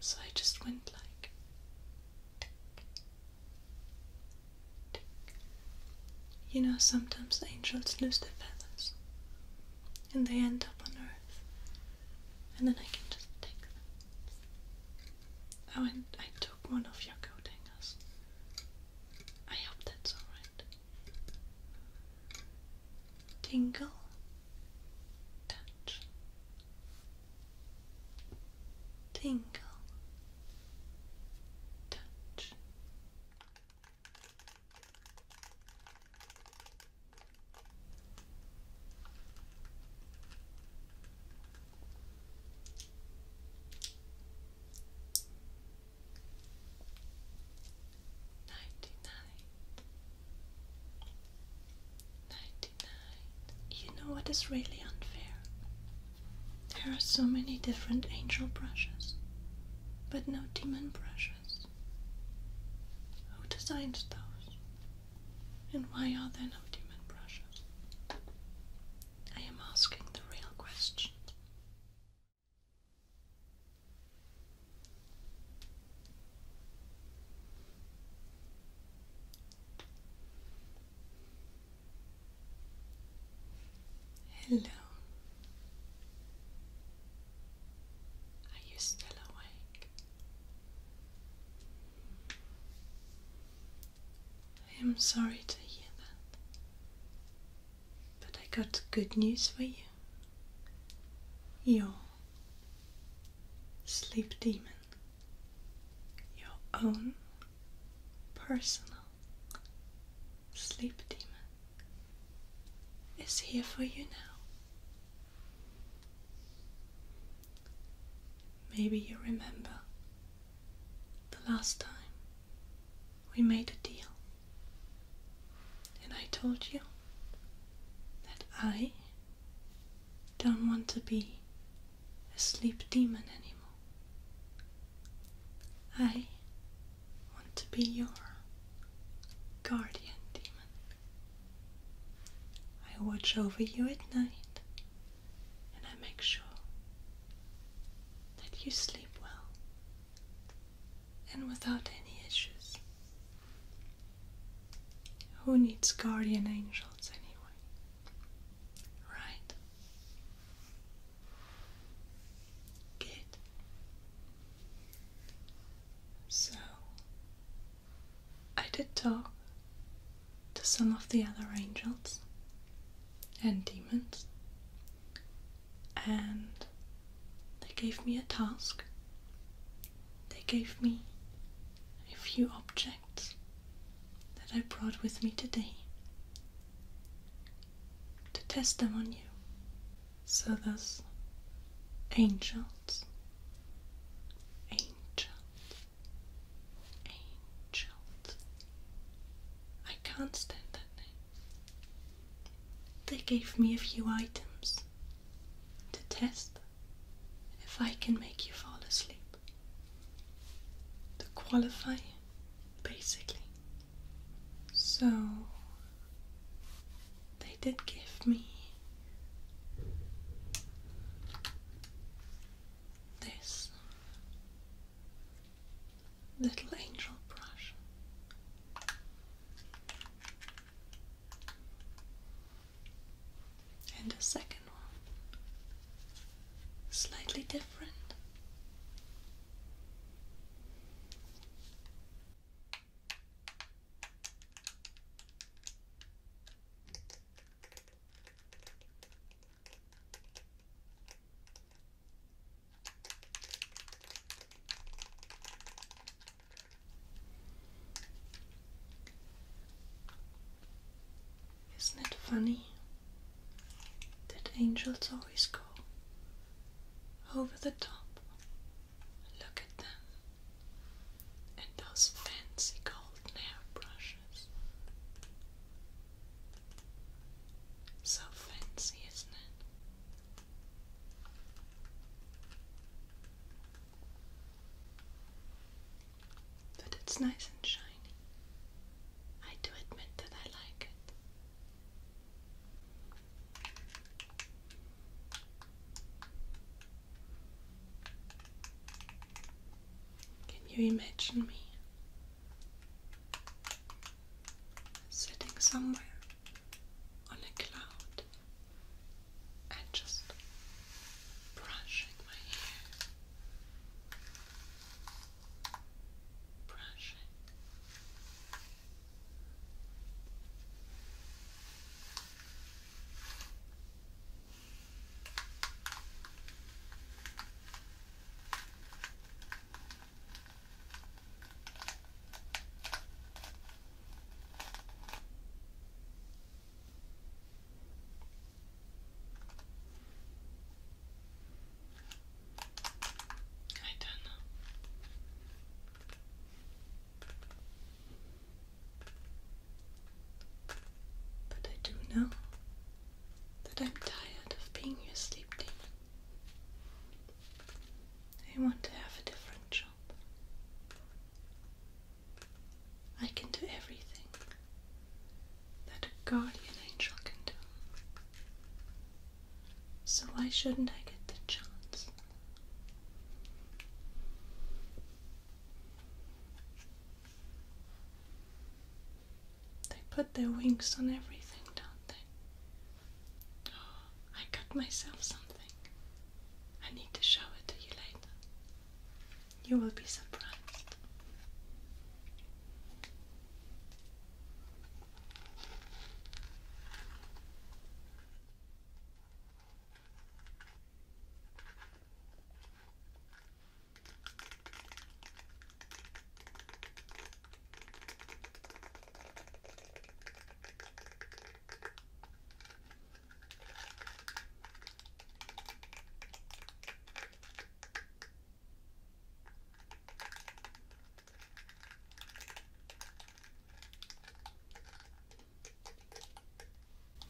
So I just went like You know, sometimes angels lose their feathers and they end up on earth, and then I can just take them. Oh, and I took one of your coat hangers. I hope that's alright. Tingle, touch, tingle, touch. Ninety-nine. You know what is really unfair? There are so many different angel brushes, but no demon brushes. Who designs those? And why are there no demon brushes? I am asking the real question. Hello. Are you still awake? I am sorry to hear that. But I got good news for you. Your sleep demon, your own personal sleep demon, is here for you now. Maybe you remember the last time we made a deal, and I told you that I don't want to be a sleep demon anymore. I want to be your guardian demon. I watch over you at night and I make sure that you sleep well and without any issues. Who needs guardian angels anyway? Right? Good. So, I did talk to some of the other angels and demons, and they gave me a task. They gave me a few objects that I brought with me today to test them on you. So, those angels, angels, Angels. I can't stand that name. They gave me a few items to test if I can make you fall asleep. To qualify, basically. So, they did give me this little angel brush. And a second one, slightly different. Isn't it funny that angels always go over the top? Look at them and those fancy golden hairbrushes. So fancy, isn't it? But it's nice and shiny. I do admit that I like it. Can you imagine me sitting somewhere on a cloud and just brushing my hair? Brushing. I don't know. But I do know that I'm tired of being your sleep demon. I want to have a different job. I can do everything that a guardian angel can do. So why shouldn't I get the chance? They put their wings on everything, don't they? Oh, I cut myself something. I need to show it to you later. You will be surprised.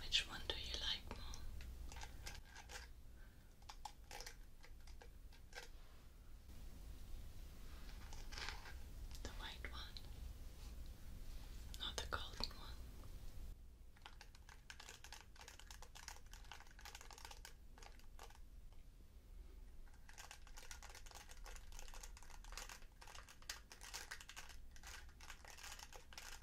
Which one do you like more? The white one, not the golden one.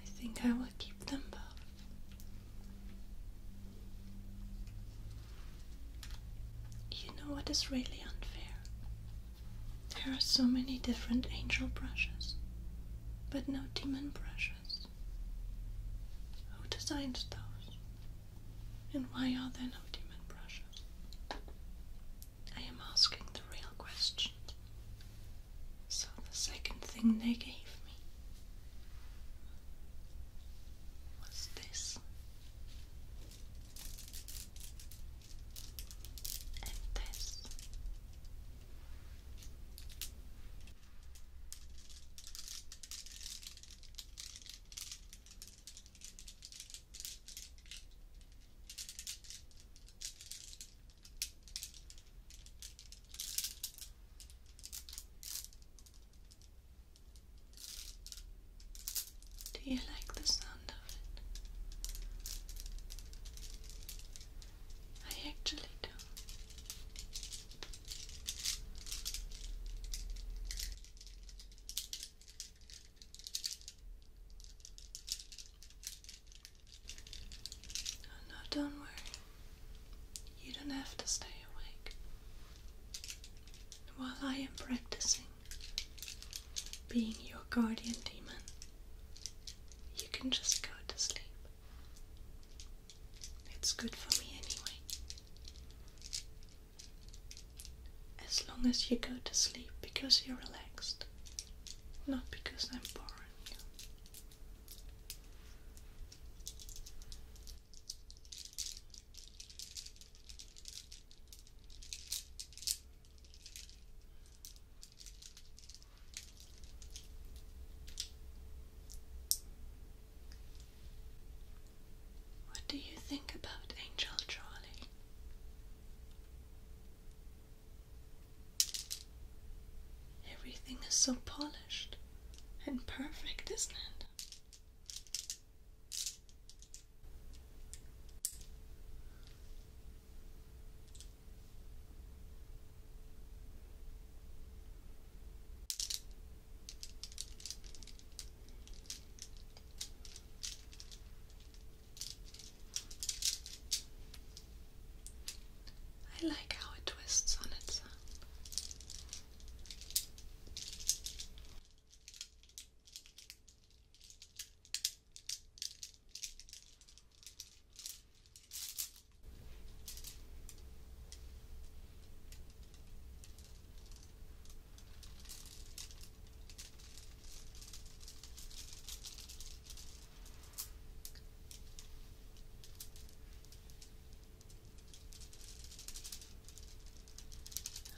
I think I will keep them both. You know what is really unfair? There are so many different angel brushes, but no demon brushes. Who designed those? And why are there no demon brushes? I am asking the real question. So the second thing they gave me was this. And this. Do you like the sound of it? I actually do. Oh no, don't worry. You don't have to stay awake. While I am practicing being your guardian demon, you can just go to sleep. It's good for me anyway. As long as you go to sleep because you're relaxed, not because I'm boring you. What do you think about Angel Charlie? Everything is so polished and perfect, isn't it? I like how it twists on itself.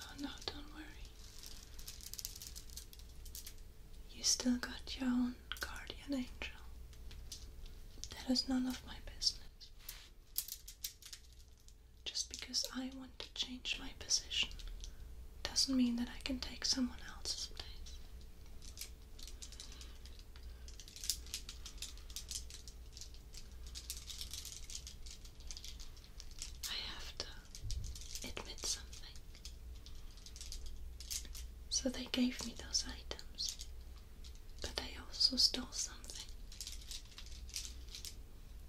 Oh no, don't worry. You still got your own guardian angel. That is none of my business. Just because I want to change my position doesn't mean that I can take someone else's place. I have to admit something. So they gave me those items, but I also stole something.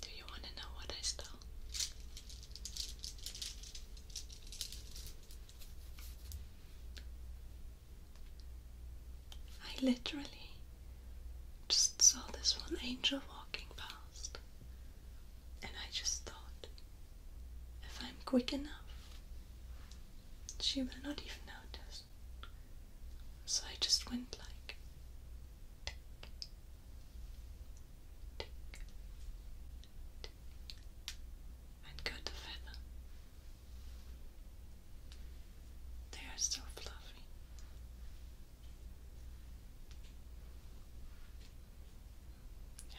Do you want to know what I stole? I literally just saw this one angel walking past, and I just thought if I'm quick enough, she will not even notice. So I just went like and got a feather. They are so fluffy.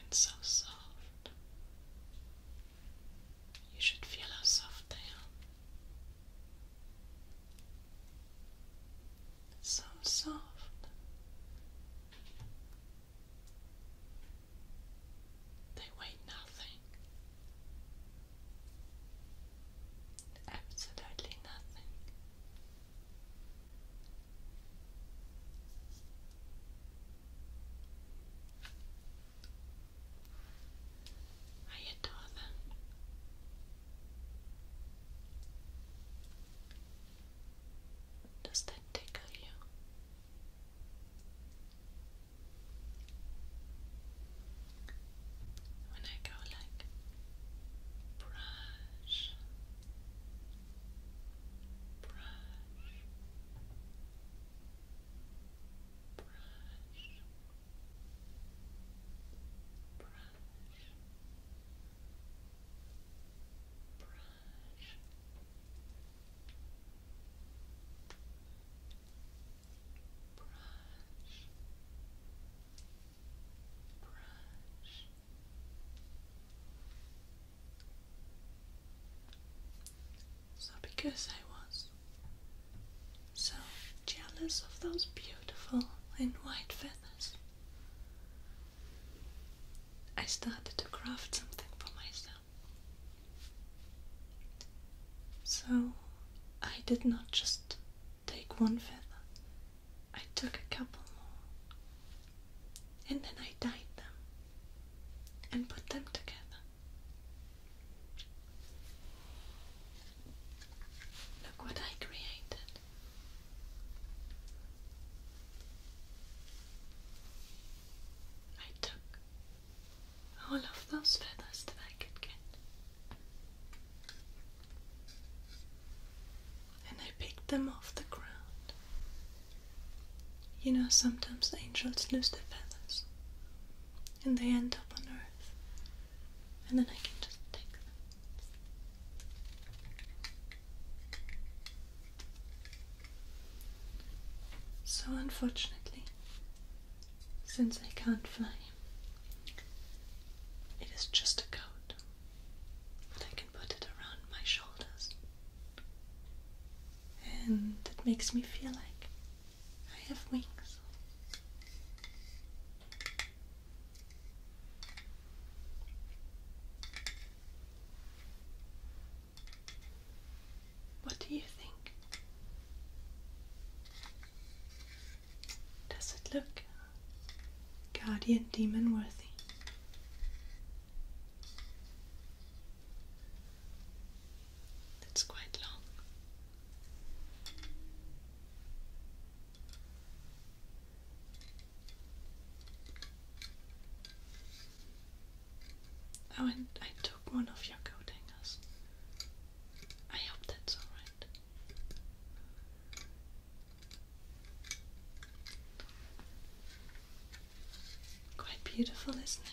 And so soft. You should feel how soft they are. So soft. They weigh nothing. Absolutely nothing. I adore them. Does that tickle you? When I go like brush, brush, brush, brush, brush. So, because I was so jealous of those beautiful and white feathers, I started to craft something for myself. So I did not just take one feather, I took a couple more, and then I dyed them and put them together. Look what I created. I took Oh, I love those feathers that I could get. And I picked them off the ground. You know, sometimes angels lose their feathers and they end up on earth, and then I can just take them. So, unfortunately, since I can't fly, it is just a coat, but I can put it around my shoulders, and it makes me feel like I have wings. What do you think? Does it look guardian demon worthy? That's quite long. Oh, and I took one of your coat hangers. I hope that's alright. Quite beautiful, isn't it?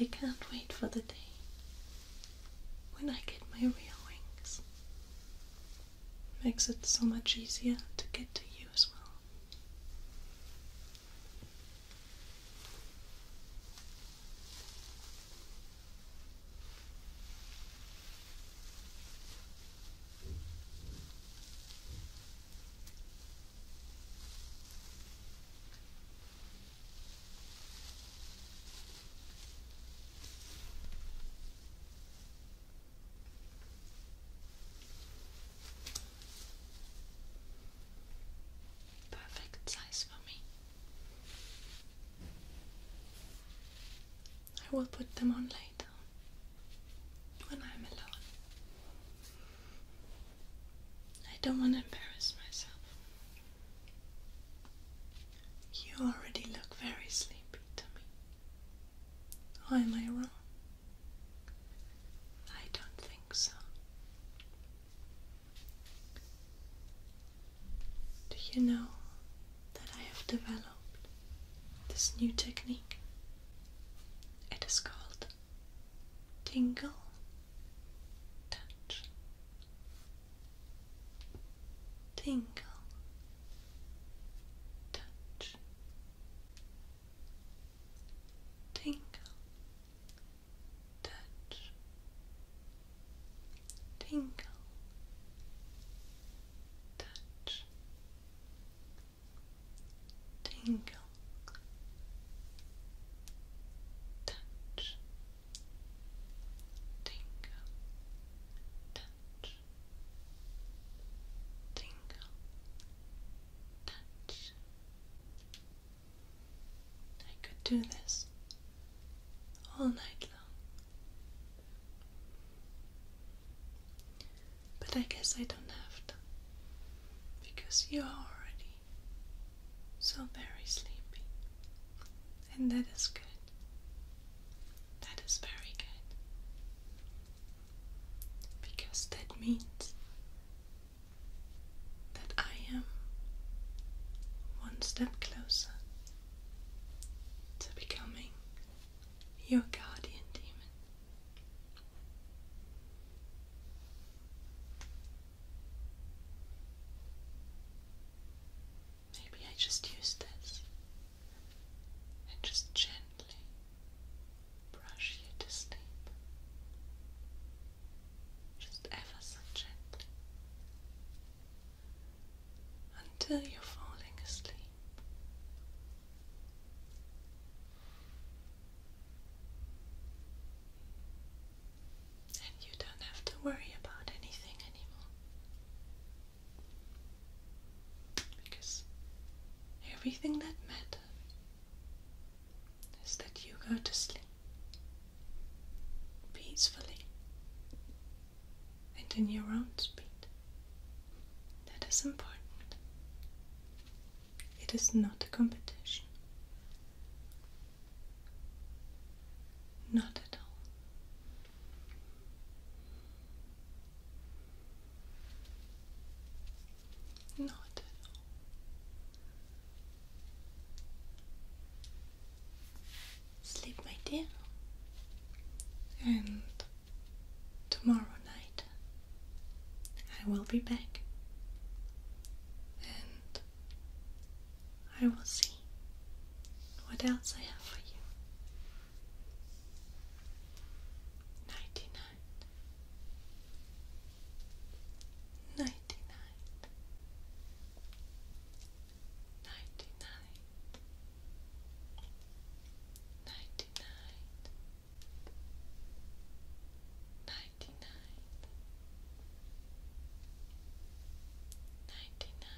I can't wait for the day when I get my real wings. makes it so much easier to get to you as well. Perfect size for me. I will put them on later when I'm alone. I don't want to embarrass myself. You already look very sleepy to me. am I wrong? I don't think so. Do you know that I have developed this new technique? It is called Tingle Touch tingle, touch, tingle, touch, tingle, touch, tingle, touch tingle, touch, tingle, touch. I could do this all night long, but I guess I don't have to because you are already so very sleepy. And that is good. That is very good. Because that means that I am one step closer to becoming your guardian demon. Maybe I just use this and just gently brush you to sleep. Just ever so gently until you're falling asleep and you don't have to worry about anything anymore. Because everything that matters is that you go to sleep peacefully and in your own speed. That is important. It is not a competition. Not at all. Not at all. Sleep, my dear, and tomorrow night I will be back and I will see what else I have for you. Ninety nine, ninety nine, ninety nine, ninety nine, ninety nine, ninety nine.